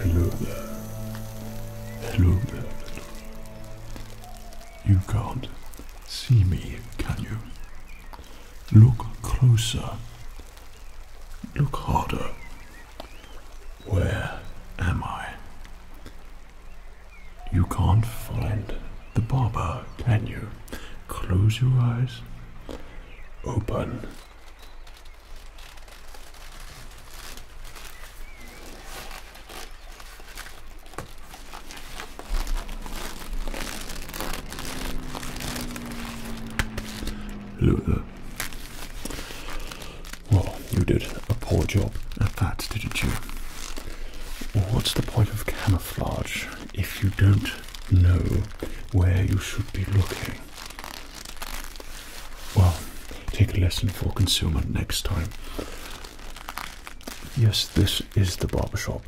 Hello there. Hello there, hello. You can't see me, can you? Look closer. Look harder. Where am I? You can't find the barber, can you? Close your eyes. Open Hello Well, you did a poor job at that, didn't you? What's the point of camouflage if you don't know where you should be looking? Well, take a lesson for consumer next time. Yes, this is the barber shop.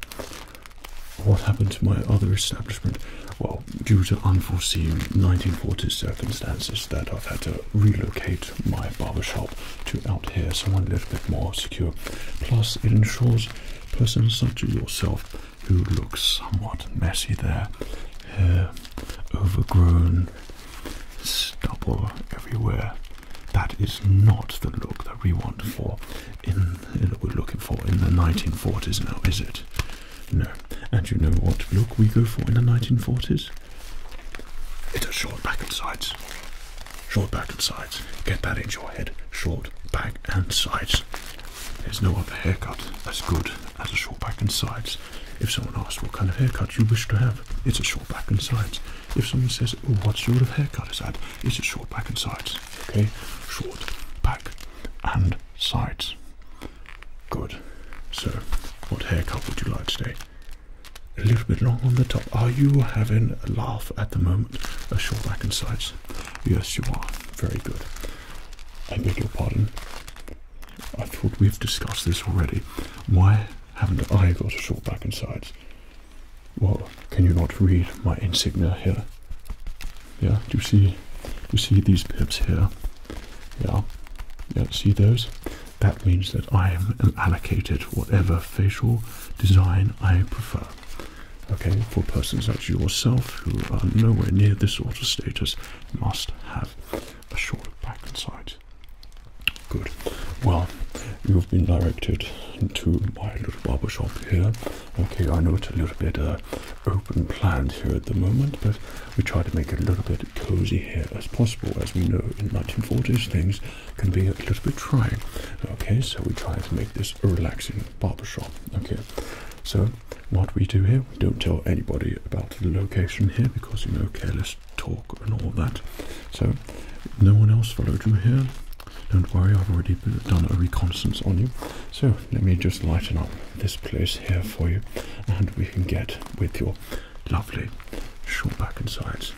What happened to my other establishment? Well, due to unforeseen 1940 circumstances that I've had to relocate my barber shop to out here, somewhere a little bit more secure. Plus, it ensures persons such as yourself who looks somewhat messy there. Hair overgrown, stubble everywhere. That is not the look that we want for in, in we're looking for in the 1940s now, is it? No. And you know what look we go for in the 1940s? It's a short back and sides. Short back and sides. Get that into your head. Short back and sides. There's no other haircut as good as a short back and sides. If someone asks what kind of haircut you wish to have, it's a short back and sides. If someone says, oh, what sort of haircut is that? It's a short back and sides. Okay? Short back and sides. Good. So, what haircut would you like today? A little bit long on the top. Are you having a laugh at the moment? A short back and sides? Yes, you are. Very good. I beg your pardon. I thought we've discussed this already. Why haven't I got a short back and sides? Well, can you not read my insignia here? Yeah, do you see you see these pips here? Yeah. Yeah, see those? That means that I am allocated whatever facial design I prefer. Okay, for persons like yourself who are nowhere near this sort of status, must have a short backside. Good. Well, you've been directed to my little barber shop here. Okay, I know it's a little bit uh, open plan here at the moment, but we try to make it a little bit cozy here as possible. As we know, in 1940s, things can be a little bit trying. Okay, so we try to make this a relaxing barber shop. Okay, so what we do here, we don't tell anybody about the location here because you know careless talk and all that. So no one else followed you here. Don't worry, I've already done a reconnaissance on you. So let me just lighten up this place here for you, and we can get with your lovely short back and sides.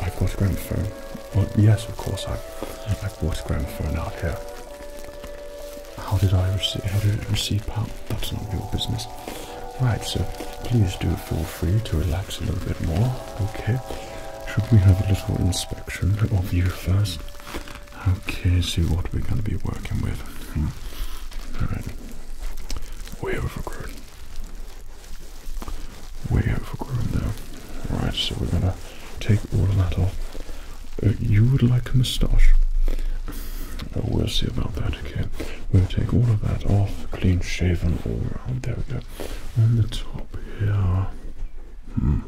I've got a gramophone. yes, of course, I've, I've bought a gramophone out here. How did I receive, how did it receive That's not your business. Right, so please do feel free to relax a little bit more, okay? Should we have a little inspection of you first? Okay, see what we're going to be working with. Hmm. Alright. Way overgrown way overgrown there. Right, so we're gonna take all of that off. Uh, you would like a moustache? Uh, we'll see about that, okay? We'll take all of that off, clean shaven all around. There we go. On the top here. Hmm.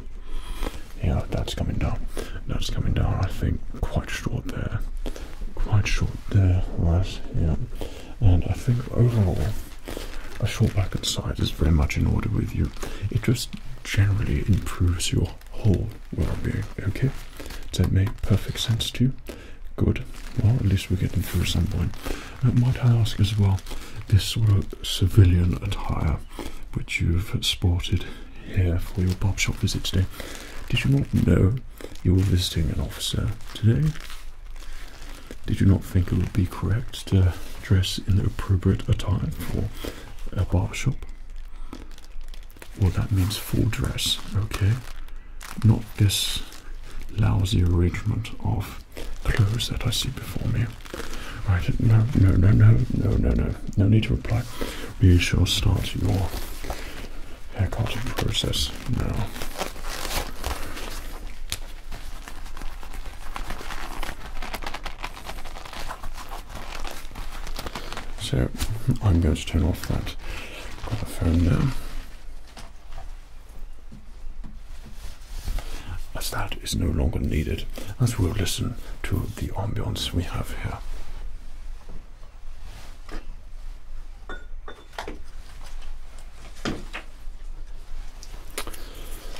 Yeah, that's coming down. That's coming down, I think, quite short there. Quite short there, right? Yeah and I think overall a short back and side is very much in order with you. It just generally improves your whole well-being. Okay, does that make perfect sense to you? Good. Well, at least we're getting through some point. Uh, might I ask as well, this sort of civilian attire which you've sported here for your pop shop visit today? Did you not know you were visiting an officer today. Did you not think it would be correct to dress in the appropriate attire for a bar shop? Well, that means full dress, okay? Not this lousy arrangement of clothes that I see before me. Right, no, no, no, no, no, no, no, no need to reply. We shall start your haircut process now. So I'm going to turn off that other phone now. As that is no longer needed, as we'll listen to the ambience we have here.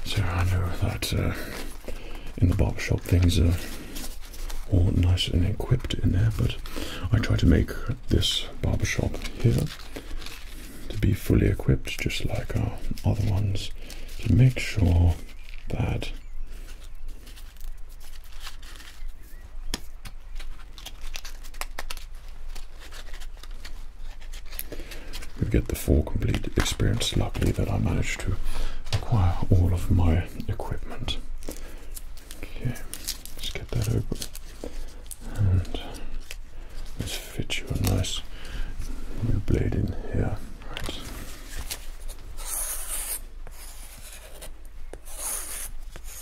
So I know that uh, in the barber shop things are all nice and equipped in there, but I try to make this barber shop here to be fully equipped, just like our other ones, to make sure that we get the full complete experience. Luckily, that I managed to acquire all of my equipment. Okay, let's get that open and let's fit you a nice new blade in here. Right.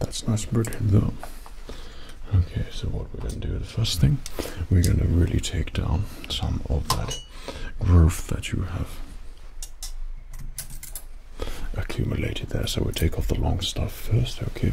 That's nice brickhead though. Okay, so what we're gonna do, the first thing, we're gonna really take down some of that growth that you have accumulated there. So we we'll take off the long stuff first, okay?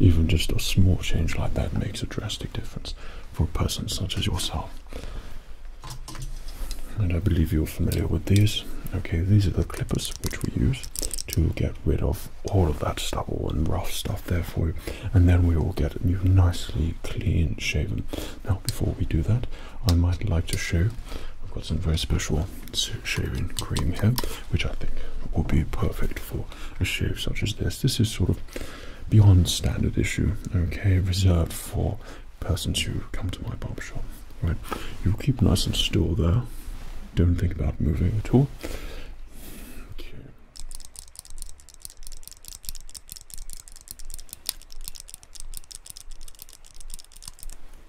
Even just a small change like that makes a drastic difference for a person such as yourself. And I believe you're familiar with these. Okay, these are the clippers which we use to get rid of all of that stubble and rough stuff there for you. And then we will get you nicely clean shaven. Now, before we do that, I might like to show I've got some very special shaving cream here, which I think will be perfect for a shave such as this. This is sort of beyond standard issue, okay, reserved for persons who come to my barbershop. Right, you keep nice and still there. Don't think about moving at all. Okay.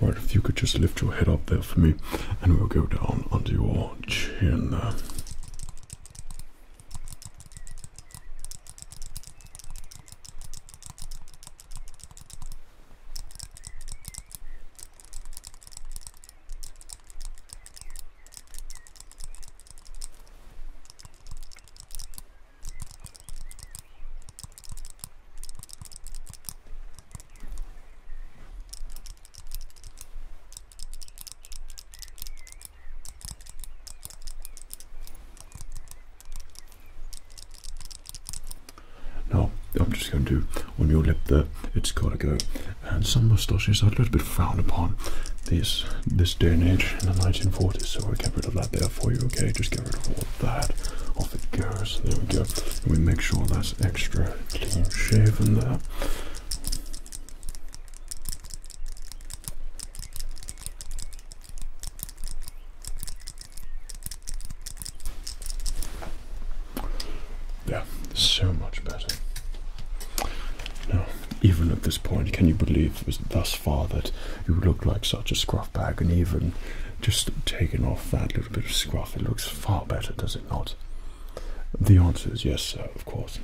Right, if you could just lift your head up there for me, and we'll go down under your chin there. No, I'm just going to do on your lip there. It's gotta go. And some moustaches are a little bit frowned upon these this day and age in the 1940s. So I get rid of that there for you. Okay, just get rid of all that. Off it goes. There we go. we make sure that extra clean shaven there. Yeah, so much better. Now, even at this point, can you believe it was thus far that you look like such a scruff bag and even just taking off that little a bit of scruff, it looks far better, does it not? The answer is yes, sir, of course.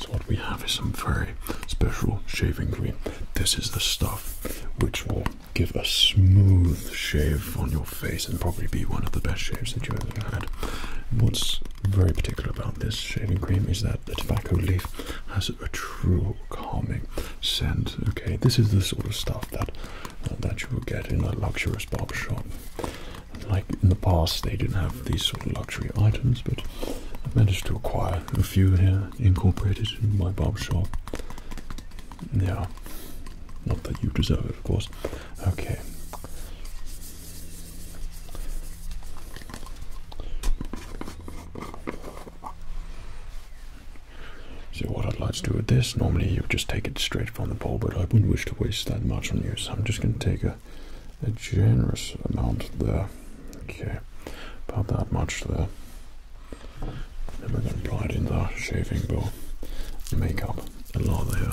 So, what we have is some very special shaving cream. This is the stuff which will give a smooth shave on your face and probably be one of the best shaves that you ever had. What's very particular about this shaving cream is that the tobacco leaf has a true calming scent. Okay, this is the sort of stuff that uh, that you will get in a luxurious barbershop. Like in the past, they didn't have these sort of luxury items, but I've managed to acquire a few here, incorporated in my barbershop. Yeah, not that you deserve it, of course. Okay. So what I'd like to do with this, normally you would just take it straight from the bowl, but I wouldn't wish to waste that much on you, so I'm just going to take a, generous amount there. Okay, about that much there. Then we're going to apply it in the shaving bowl and make up a lot there.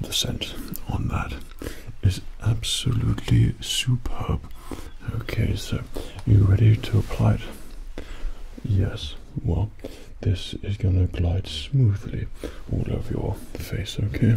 The scent on that is absolutely superb. Okay, so you ready to apply it? Yes. Well, this is gonna glide smoothly all over your face, okay?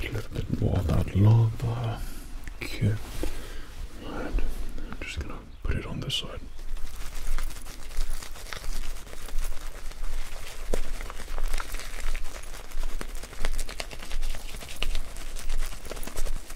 Get a little bit more of that lava. Okay. Right. I'm just gonna put it on this side.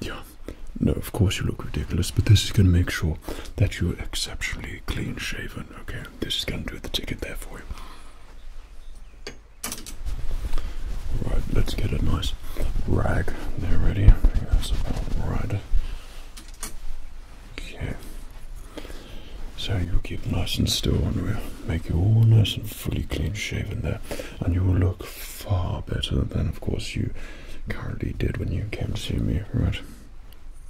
Yeah, no, of course you look ridiculous, but this is going to make sure that you're exceptionally clean shaven. Okay, this is going to do the ticket there for you. Right, right, let's get a nice rag there ready. right. Okay. So you keep nice and still and we'll make you all nice and fully clean shaven there. And you will look far better than of course you currently did when you came to see me, right?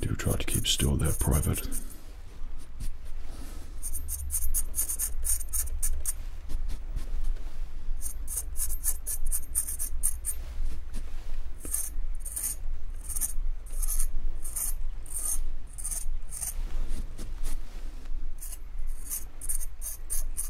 Do try to keep still there, Private.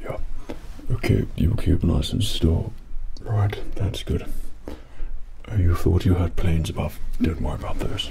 Yeah. Okay, you keep nice and still. Right, that's good. Uh, you thought you had planes above. Don't worry about those.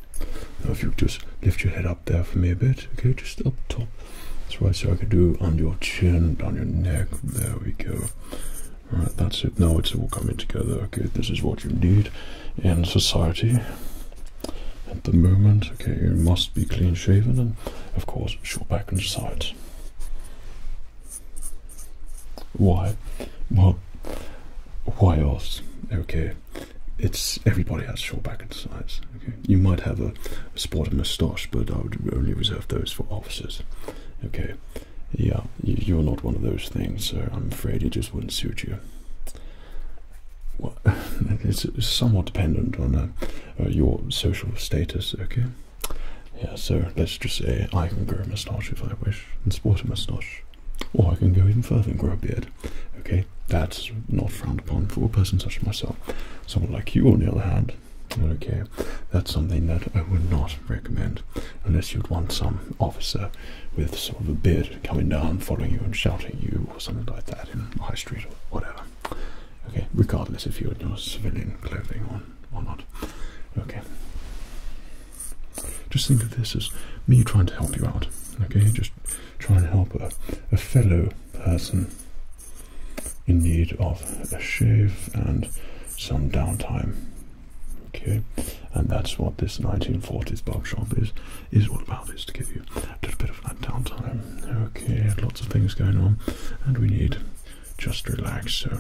Now if you just lift your head up there for me a bit, okay, just up top. That's right, so I can do on your chin, on your neck, there we go. Alright, that's it. Now it's all coming together, okay, this is what you need in society at the moment. Okay, you must be clean shaven and of course short back and sides. Why? Well, why else? Okay, it's everybody has short back and sides. You might have a, sport and moustache, but I would only reserve those for officers. Okay, yeah, you, are not one of those things, so I'm afraid it just wouldn't suit you. Well, it's somewhat dependent on uh, uh, your social status. Okay, yeah. So let's just say I can grow a moustache if I wish and sport a moustache. Or I can go even further and grow a beard. Okay, that's not frowned upon for a person such as myself. Someone like you, on the other hand, okay, that's something that I would not recommend unless you'd want some officer with sort of a beard coming down, following you and shouting you or something like that in high street or whatever. Okay, regardless if you're in your civilian clothing or, or not. Okay. Just think of this as me trying to help you out. Okay, just try and help a, fellow person in need of a shave and some downtime. Okay, and that's what this 1940s barbershop is is all about is to give you a little bit of that downtime. Okay, lots of things going on, and we need just relax. So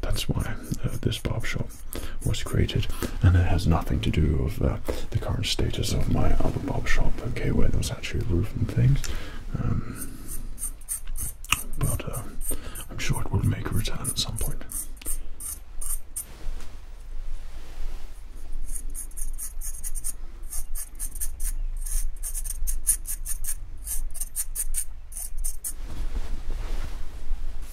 that's why uh, this barbershop was created, and it has nothing to do with uh, the current status of my other shop. okay, where there was actually a roof and things. Um, but uh, I'm sure it will make a return at some point.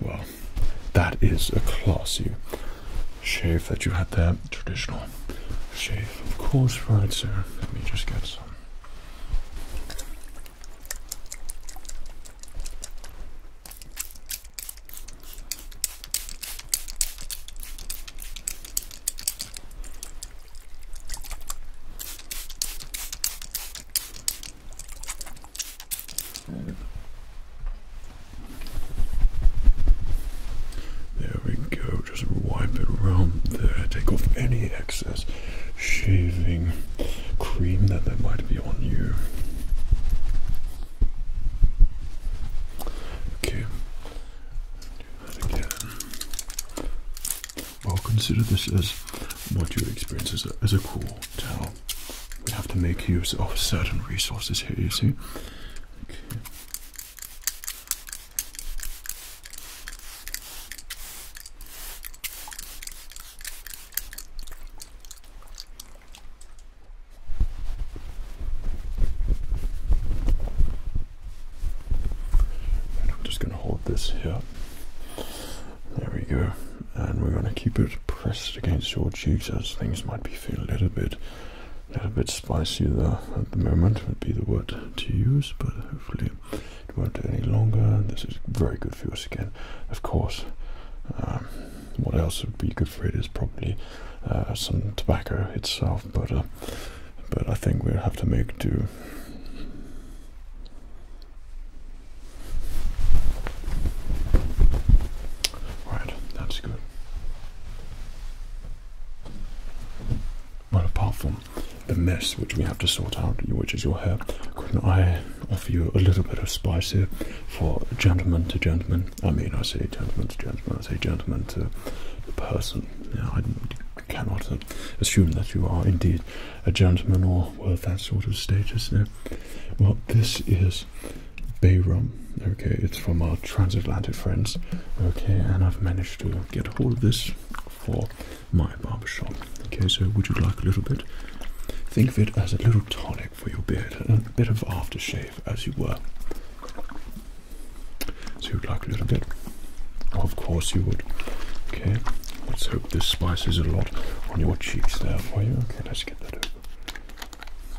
Well, that is a classy shave that you had there. Traditional shave, of course. Right, sir? let me just get some. There we go. Just wipe it around there. Take off any excess shaving cream that there might be on you. Okay. Do that again. Well, consider this as what you experience as a, as a cool towel we have to make use of certain resources here, you see. I'm just going to hold this here. There we go and we're going to keep it pressed against your cheeks as things might be feeling a little bit a little bit spicy there at the moment would be the word to use but hopefully it won't any longer this is very good for your skin of course um, what else would be good for it is probably uh, some tobacco itself but uh, but I think we'll have to make do Right, that's good. Well, apart from the mess which we have to sort out, which is your hair, couldn't I offer you a little bit of spice here for gentleman to gentleman? I mean, I say gentleman to gentleman, I say gentleman to person. I cannot uh, assume that you are indeed a gentleman or worth that sort of status. No. Well, this is bay rum. Okay, it's from our transatlantic friends. Okay, and I've managed to get hold of this for my barber shop, Okay, so would you like a little bit? Think of it as a little tonic for your beard, a bit of aftershave as you were. So you'd like a little bit? Of course you would. Okay, let's hope this spices a lot on your cheeks there for you. Okay, let's get that over.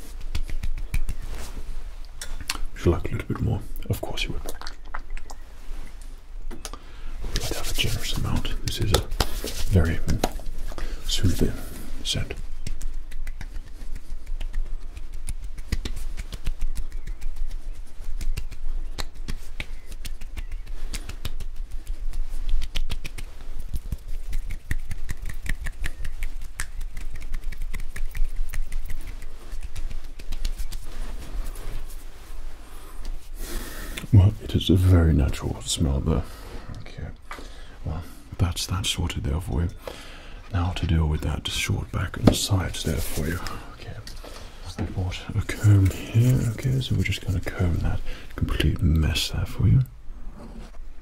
Would you like a little bit more? Of course you would. We have a generous amount. This is a very soothing scent. Well, it is a very natural smell there. Okay. Well, that's that sorted there for you. Now to deal with that short back and sides there for you. Okay. I bought a comb here. Okay, so we're just going to comb that complete mess there for you.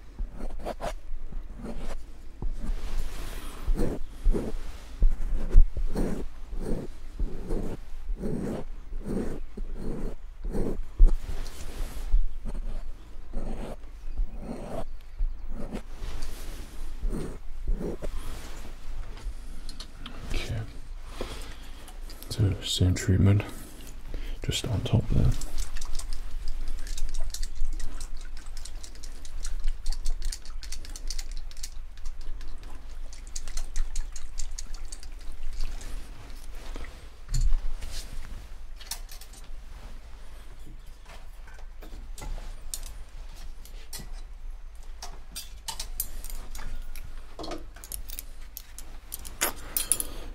Okay. So same treatment just on top there.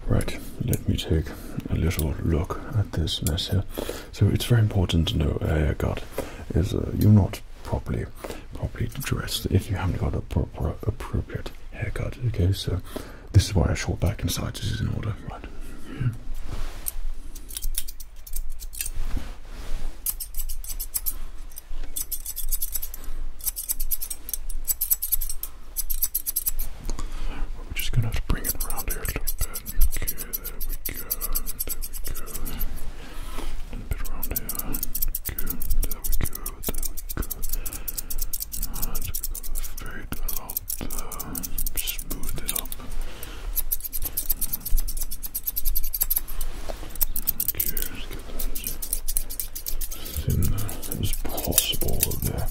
Right, let me take a little look at this mess here. So it's very important to know, uh, is uh, you're not properly, properly dressed if you haven't got a proper, appropriate haircut. Okay, so this is why I short back inside. This is in order, right? We're just gonna have to bring it around here a little bit. Okay, there we go. There we go. A little bit around here. Okay, there we go. There we go. Alright, so we've got to fade that out. Uh, smooth it up. Okay, let's get that as thin as possible there. Okay,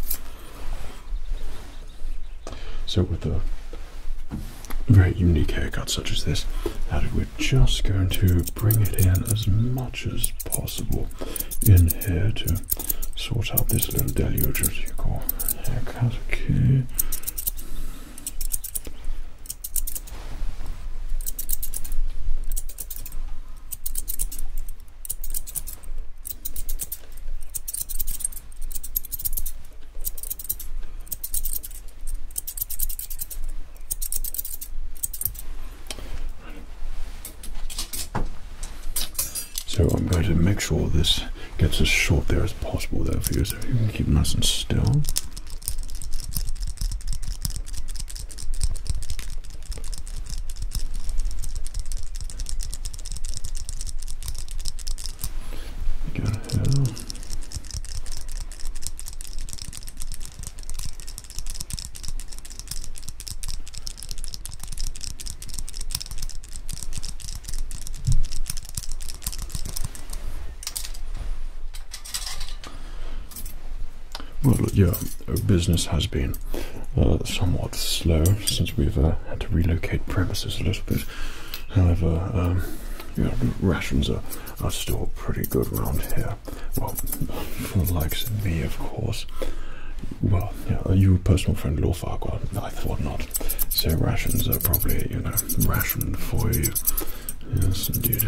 so with a very unique haircut such as this, we're just going to bring it in as much as possible in here to sort out this little deluge as you call haircut. Okay. So I'm going to make sure this gets as short there as possible there for you so you can keep nice and still. Well, yeah, business has been uh, somewhat slow since we've uh, had to relocate premises a little bit. However, um, rations are, are still pretty good around here. Well, for the likes of me, of course. Well, yeah, are you personal friend, Lord Farquhar? I thought not. So rations are probably, you know, rationed for you. Yes, indeed.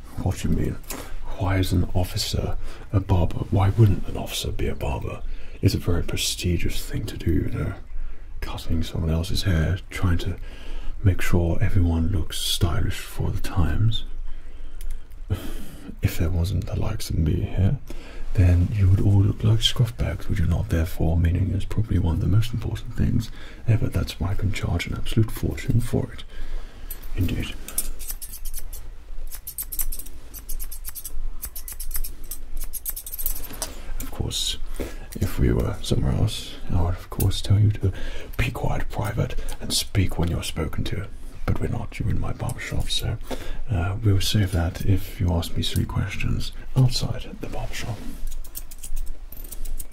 What do you mean? Why is an officer a barber? Why wouldn't an officer be a barber? It's a very prestigious thing to do, you know. Cutting someone else's hair, trying to make sure everyone looks stylish for the times. If there wasn't the likes of me here, then you would all look like scruffbags, would you not? Therefore, meaning is probably one of the most important things ever. That's why I can charge an absolute fortune for it. Indeed. Of course, if we were somewhere else, I would of course tell you to be quiet, private and speak when you're spoken to. But we're not, you're in my barbershop, so uh, we'll save that if you ask me three questions outside the barbershop.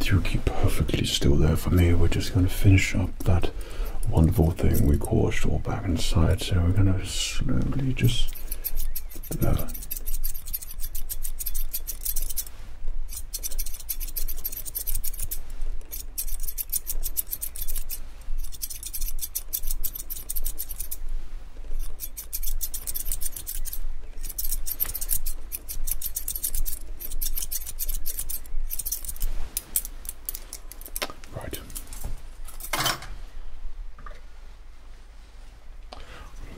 Do keep perfectly still there for me. We're just going to finish up that wonderful thing we caused all back inside. So we're going to slowly just. Uh, Right.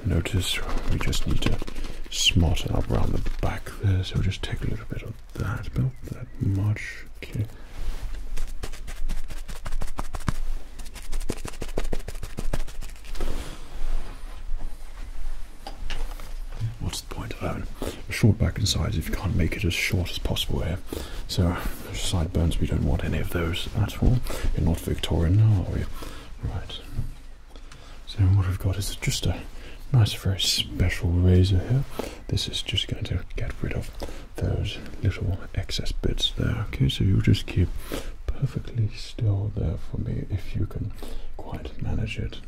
Notice we just need to smot up around the back there, so we just take a little bit of that, about that much. Okay point of having short back and sides if you can't make it as short as possible here? So, side burns. we don't want any of those at all. You're not Victorian, are we? Right. So, what we've got is just a nice, very special razor here. This is just going to get rid of those little excess bits there. Okay, so you just keep perfectly still there for me if you can quite manage it.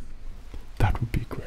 That would be great.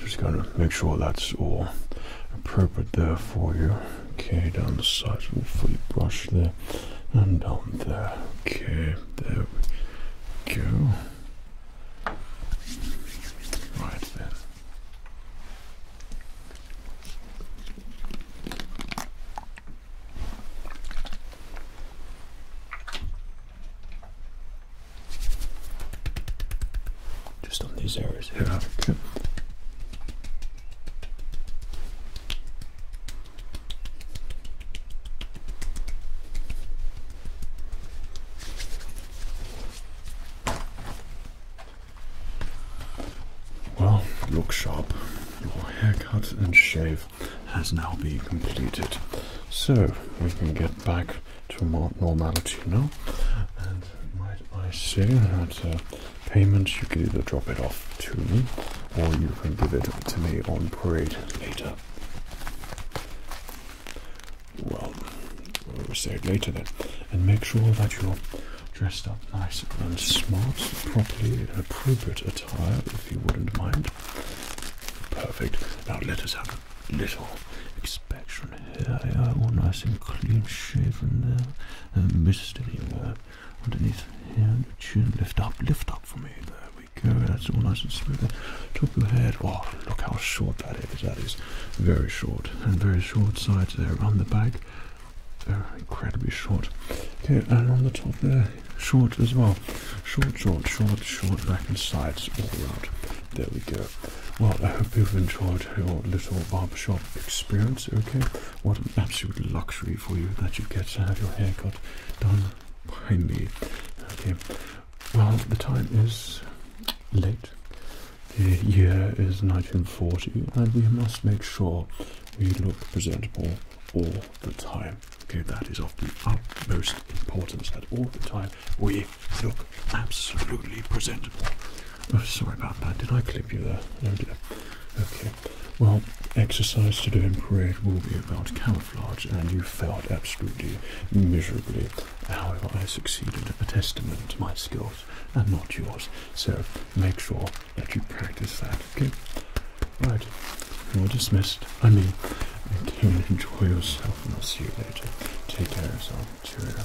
just going to make sure that's all appropriate there for you. Okay, down the sides of the fully brush there and down there. Okay, there we go. Just on these areas Yeah, well, look sharp. Your haircut and shave has now been completed. So we can get back to more normality now. And might I say that uh, payments you can either drop it off to me or you can give it to me on parade later. Well, we'll say it later then. And make sure that you're dressed up nice and smart, properly in appropriate attire, if you wouldn't mind. Perfect. Now let us have a little inspection here. Yeah, all nice and clean shaven there. Uh, missed anywhere. Underneath here, chin. Lift up, lift up for me. There there we go. That's all nice and smooth. Top of the head. Oh, look how short that is. That is very short and very short sides there. on the back, they're incredibly short. Okay, and on the top there, short as well. Short, short, short, short, back and sides all around. There we go. Well, I hope you've enjoyed your little barbershop experience, okay? What an absolute luxury for you that you get to have your hair cut done by me. Okay, well, the time is late. The year is 1940, and we must make sure we look presentable all the time. Okay, that is of the utmost importance At all the time we look absolutely presentable. Oh, sorry about that. Did I clip you there? No, did Okay. Well, exercise to do in parade will be about calories camouflage and you failed absolutely miserably. However, I succeeded, a testament to my skills and not yours. So make sure that you practice that, okay? Right, you're dismissed. I mean, I can enjoy yourself and I'll see you later. Take care of yourself. Cheerio.